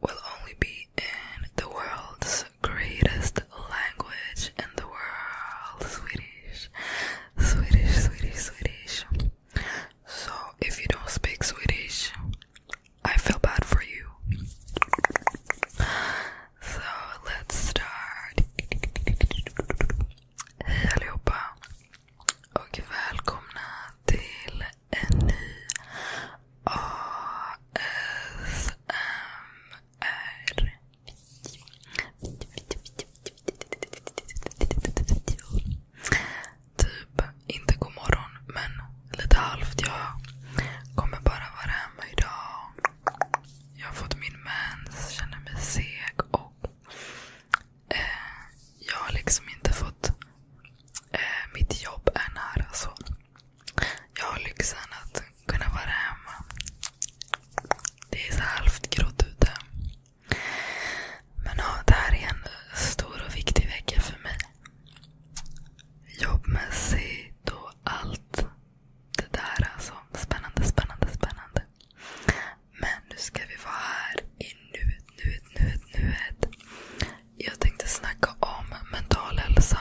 will only be in the world's greatest language in the world Swedish. Swedish, Swedish, Swedish. So if you don't speak Swedish, I feel bad for you. So let's start. Hej allihopa och välkomna till en ny ASMR Typ, inte god morgon men lite halvt. Jag kommer bara vara hemma idag. Jag har fått min mens, känner mig seg och eh, jag har liksom inte fått Eh, mitt jobb är nära. Så jag har lyxen att kunna vara hemma. Det är så halvt grått ute. Men ja, det här är en stor och viktig vecka för mig. Jobbmässigt och allt det där. Alltså, spännande, spännande, spännande. Men nu ska vi vara här i nuet nuet, nuet, nuet. Jag tänkte snacka om mental hälsa.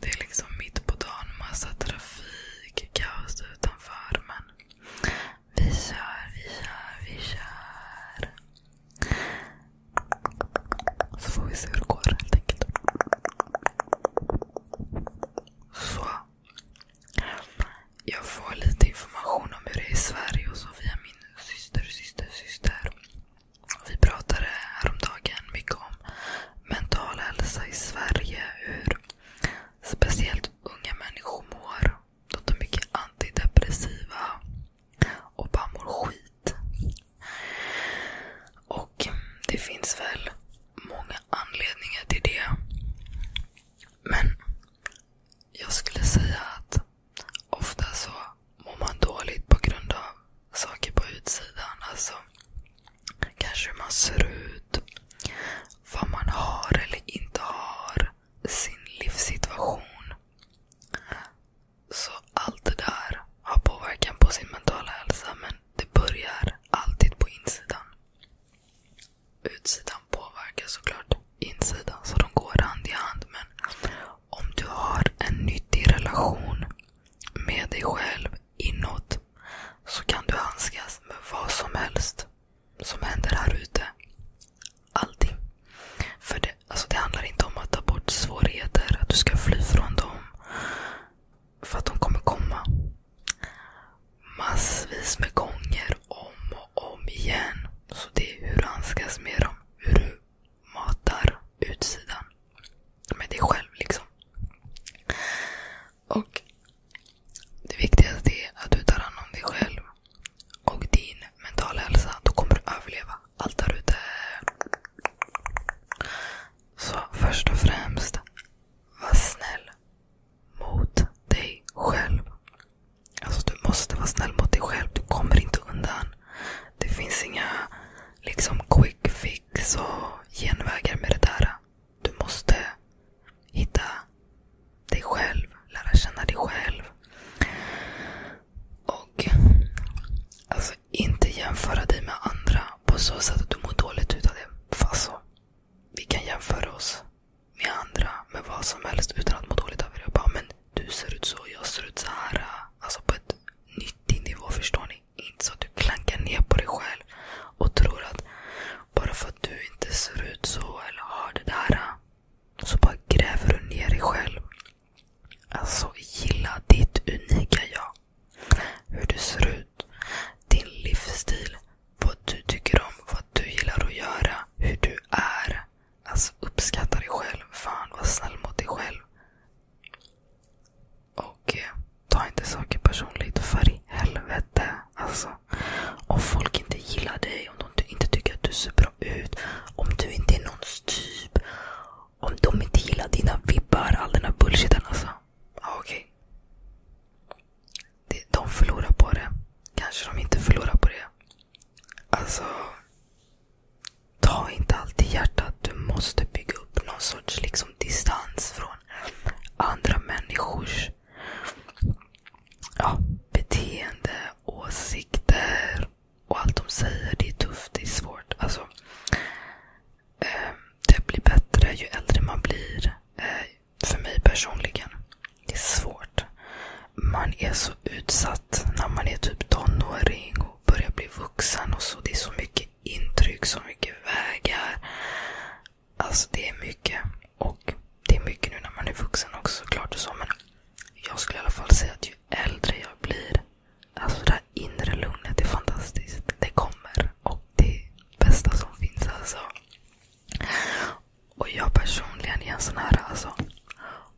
Det är liksom mitt på dagen, massa trafik, kaos utanför. Men vi kör, vi kör, vi kör. Så får vi se hur det går helt enkelt. Så. Jag får lite information om hur det är i Sverige och så via min syster, syster, syster. Vi pratade häromdagen mycket om mental hälsa i Sverige. Hur speciellt unga människor mår. De tar mycket antidepressiva och bara mår skit. Och det finns väl många anledningar till det. Men jag skulle säga att ofta så mår man dåligt på grund av saker på utsidan. Alltså kanske hur man ser ut, vad man har eller inte har, sin livssituation. Så allt det där har påverkan på sin mentala hälsa men det börjar alltid på insidan utsidan påverkar såklart insidan. Så de går hand i hand. Men om du har en nyttig relation med dig själv inåt så kan du handskas med vad som helst som händer här ute. Allting. För det, alltså det handlar inte om att ta bort svårigheter, att du ska fly från dem. För att de kommer komma. Massvis med gånger om och om igen. Så det är hur du handskas med dem. Hur du matar utsidan med dig själv. liksom. Och Det viktigaste är att du tar hand om dig själv och din mentala hälsa. Då kommer du överleva allt där ute. Så först och främst, var snäll mot dig själv. Alltså Du måste vara snäll mot dig själv. Du kommer inte undan. Det finns inga liksom quick fix och genvägar med det där. Du måste hitta dig själv. Lära känna dig själv. Och alltså inte jämföra dig med andra på så sätt att du mår dåligt utav det. För alltså, vi kan jämföra oss med andra med vad som helst utan att må dåligt av det. Jag bara, men du ser ut så, jag ser ut så här. Alltså på ett nyttig nivå, förstår ni? Inte så att du klankar ner på dig själv och tror att bara för att du inte ser ut så eller har det där så bara gräver du ner dig själv. Alltså gilla ditt unika jag. Hur du ser ut ut. Din livsstil. Vad du tycker om. Vad du gillar att göra. Hur du är. Alltså uppskatta dig själv. Fan var snäll mot dig själv. Och eh, ta inte saker personligt. För i helvete. Alltså, om folk inte gillar dig. Om de inte tycker att du ser bra ut. Om du inte är någons typ. Om de inte gillar dina vibbar. All den här bullshiten alltså ah, okej. Okay. De förlorar på det. Kanske de inte förlorar på det. Alltså, ta inte allt i hjärtat. Du måste bygga upp någon sorts liksom, distans från andra människors ja, beteende, åsikter och allt de säger. Det är tufft, det är svårt. Alltså, Eh, det blir bättre ju äldre man blir. Eh, för mig personligen. Det är svårt. Man är så utsatt när man är typ tonåring och börjar bli vuxen. och så. Det är så mycket intryck, så mycket vägar. Alltså det är mycket. Och det är mycket nu när man är vuxen också såklart. Och så, men jag skulle i alla fall säga att ju äldre jag blir, Alltså det här inre lugnet är fantastiskt. Det kommer. Och det bästa som finns. alltså. Och jag personligen är en sån här, alltså.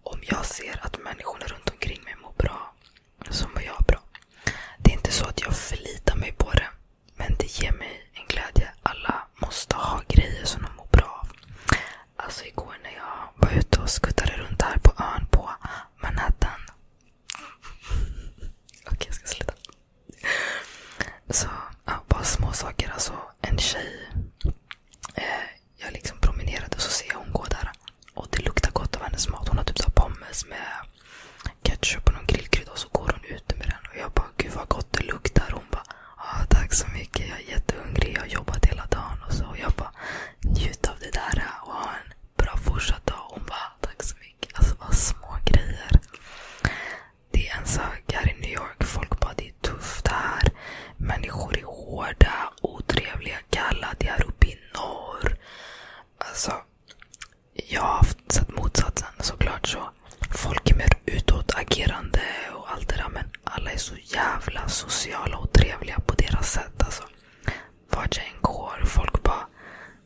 Om jag ser att människorna runt omkring mig mår bra, så mår jag bra. Det är inte så att jag förlitar mig på det. Men det ger mig en glädje. Alla måste ha grejer som de mår bra av. Alltså igår när jag var ute och skuttade runt här på ön på Manhattan. Okej, jag ska sluta. Så, ja, bara små saker. Alltså, en tjej. Eh, jag liksom promenerade och så ser jag hon gå där. Och det luktar gott av hennes mat. Hon har typ så pommes med ketchup och någon grillkrydda. Och så går hon ute med den. Och jag bara, gud vad gott det luktar. Hon bara, ah, tack så mycket. Jag är jättehungrig. Jag har jobbat hela dagen. Och så och jag bara, njut av det där. Och ha en bra fortsatt dag. Hon bara, tack så mycket. Alltså vad små grejer. Det är en sak här i New York. Folk bara det är tufft här. Människor är hårda, otrevliga, kalla. Det är uppe i norr. Alltså, jag har sett motsatsen såklart. så Folk är mer utåtagerande och allt det där. Men alla är så jävla sociala och trevliga på deras sätt. Alltså vart jag än går. Folk bara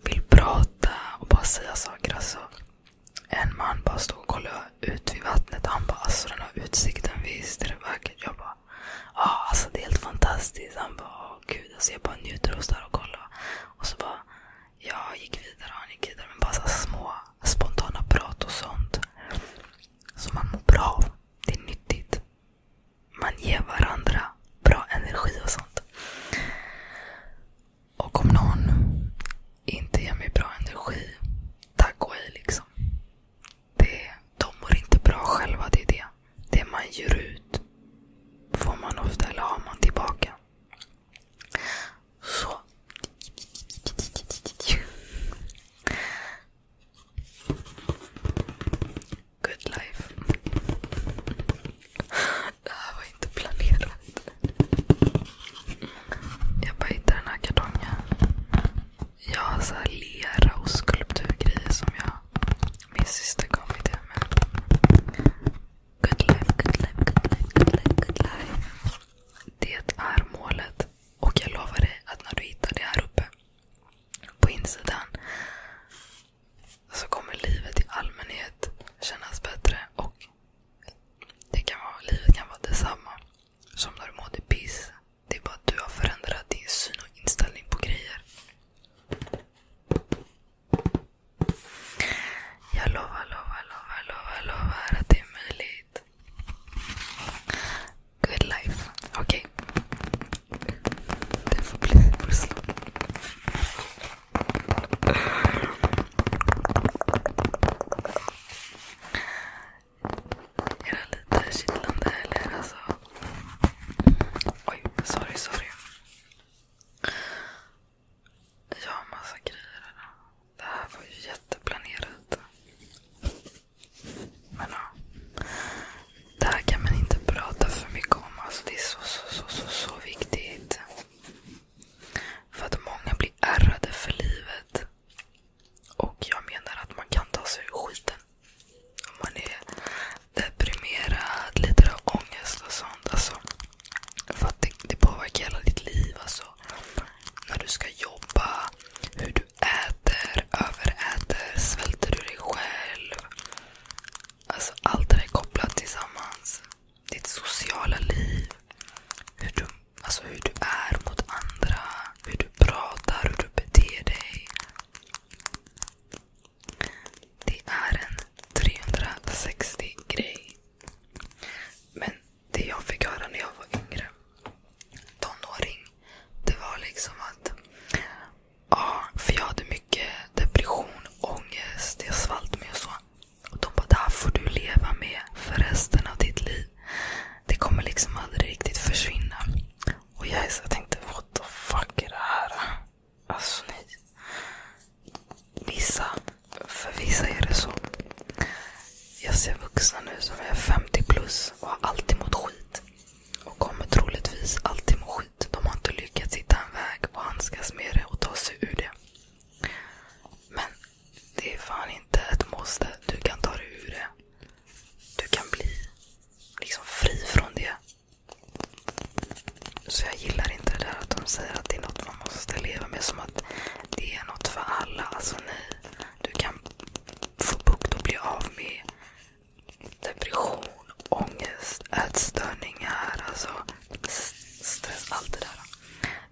vill prata och bara säga saker. Alltså, en man bara stod och kollade ut vid vattnet. Han bara alltså den här utsikten, visst är det vackert? Jag bara ja, ah, alltså det är helt fantastiskt. Han bara åh gud, alltså, jag bara njuter och står och kollar. Och så bara jag gick vidare och han gick vidare. Men bara så små spontana prat och sånt. Som man mår bra av. Det är nyttigt man ger varandra bra energi och sånt. Och om någon inte ger mig bra energi, tack och hej liksom. Det, de mår inte bra själva, det är det. Det man ger ut får man ofta, eller har man tillbaka. Så. Good life. Det här var inte planerat. Jag bara hittade den här kartongen. Jag har så här lera och skulpturgrejer som jag min syster gav mig till mig. Good life, good life, good life, good life, good life. Det är målet. Och jag lovar dig att när du hittar det här uppe på insidan. Så kommer livet i allmänhet kännas bättre. och det kan vara, Livet kan vara detsamma som när du mådde piss. Det är bara att du har förändrat din syn och inställning på grejer. Jag lovar, lovar, lovar, lovar, lovar att det är möjligt. Good life. Okej. Okay. Det får bli vår slogan. Är det lite kittlande eller alltså? Oj, sorry, sorry. Jag har massa grejer här. Det här var ju jätteplanerat. Men ja. Det här kan man inte prata för mycket om. Alltså, det är så, så, så, så, så viktigt. För att många blir ärrade för livet. Och jag menar att man kan ta sig ur skiten. Om man är deprimerad, lider av ångest och sånt. Alltså, för att det, det påverkar hela ditt liv. Alltså, när du ska jobba, hur du äter, överäter, svälter du dig själv. Alltså allt det där är kopplat tillsammans. Ditt sociala liv. Hur du, alltså hur du är mot andra. Hur du pratar, hur du beter dig. Det är en 360 grej. Men det jag fick höra när jag var yngre tonåring. Det var liksom att... Ja, för jag hade mycket depression, ångest, jag svalt mig och så. Och de bara, det här får du leva med för resten av ditt liv. Det kommer liksom aldrig riktigt försvinna. Och jag, jag tänkte, what the fuck är det här? Alltså nej. Vissa, för vissa är det så. Jag ser vuxna nu som är 50 plus och har alltid mått skit. Och kommer troligtvis alltid må skit. De har inte lyckats hitta en väg och handskas med det och ta sig ur det. Men det är fan inte ett måste. Du kan ta dig ur det. Du kan bli liksom fri från det. Så jag gillar inte det där att de säger att det är något man måste leva med. Som att det är något för alla. Alltså nej. Du kan få bukt och bli av med depression, ångest, ätstörningar, alltså stress. Allt det där.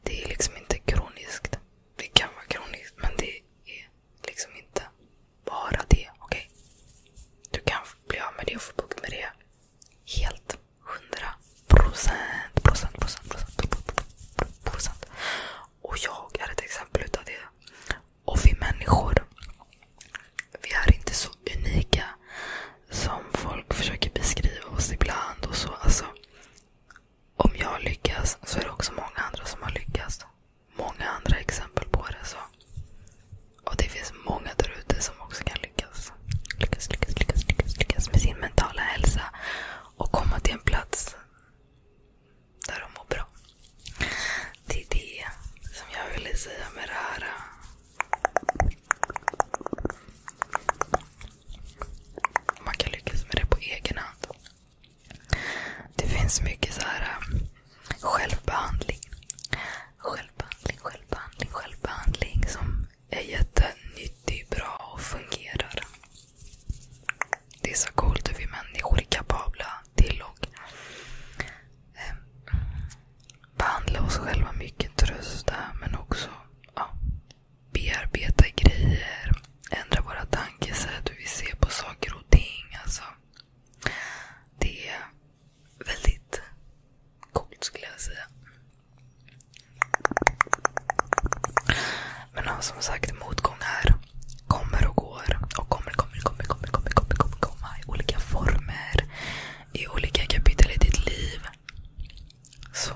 Det är liksom inte kroniskt. Det kan vara kroniskt, men det är liksom inte bara det. Okay? Du kan bli av med det och få bukt med det helt. 100 procent, procent, procent, procent, procent. Och jag är ett exempel utav det. Och vi människor, vi är inte så unika som folk försöker beskriva oss ibland. och så. Alltså, om jag lyckas så är det också många andra som har lyckats. Många andra exempel på det. så. Och det finns många där ute som också kan lyckas. Lyckas, lyckas, lyckas, lyckas, lyckas med sin mentala hälsa och komma till en plats där de mår bra. Det är det som jag ville säga med det här. Man kan lyckas med det på egen hand. Det finns mycket så här um, självbehandling. Självbehandling, självbehandling, självbehandling som är jättenyttig, bra och fungerar. Det är så coolt hur vi människor är kapabla till att eh, behandla oss själva mycket, trösta men också ja, bearbeta grejer, ändra våra tankesätt, hur vi ser på saker och ting. Alltså, det är väldigt coolt skulle jag säga. Men som sagt, motgångar kommer och går och kommer, kommer, kommer, kommer, kommer, kommer, kommer, komma i olika former. I olika kapitel i ditt liv. Så.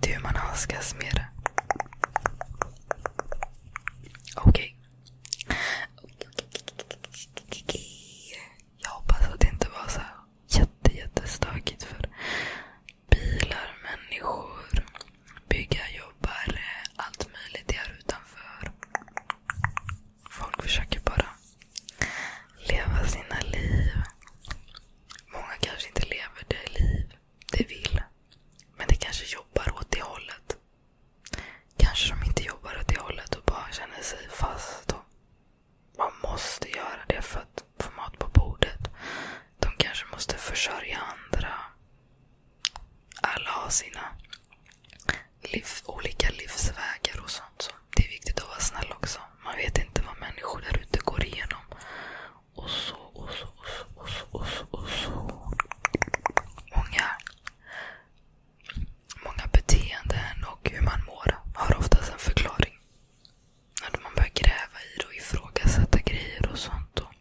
Det är hur man handskas med det. Okej. Okay. Jag hoppas att det inte var så jätte, jättestökigt för bilar, människor, jobbare, allt möjligt här utanför. Folk försöker bara leva sina liv. Många kanske inte lever det liv de vill. Men de kanske jobbar åt det hållet. Kanske de inte jobbar åt det hållet och bara känner sig fast och man måste göra det för att få mat på bordet. De kanske måste försörja andra. Alla har sina liv, olika livsvägar och sånt. Så det är viktigt att vara snäll också. Man vet inte vad människor där ute går igenom. Och så, och så, och så, och så, och så. Och så. Många, många beteenden och hur man mår har oftast en förklaring. När man börjar gräva i det och ifrågasätta grejer och sånt. Och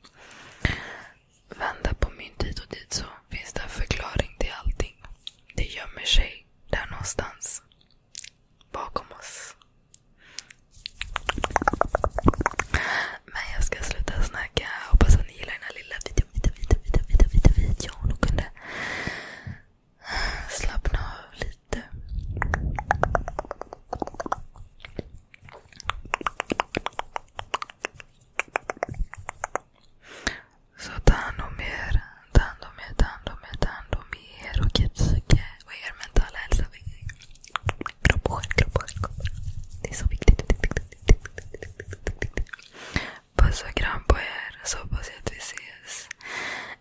vända på mynt hit och dit så finns det en förklaring till allting. Det gömmer sig där någonstans. Bakom oss. Men jag ska sluta snacka. Hoppas att ni gillar den här lilla videon. Video, video, video, video, video. kunde slappna av lite. Så ta hand om er. Ta hand om er, ta hand om er, ta hand om er och psyke och er mentala hälsa. Kropp och själ, kropp och själ. Det är så viktigt. Puss och kram på er så hoppas jag att vi ses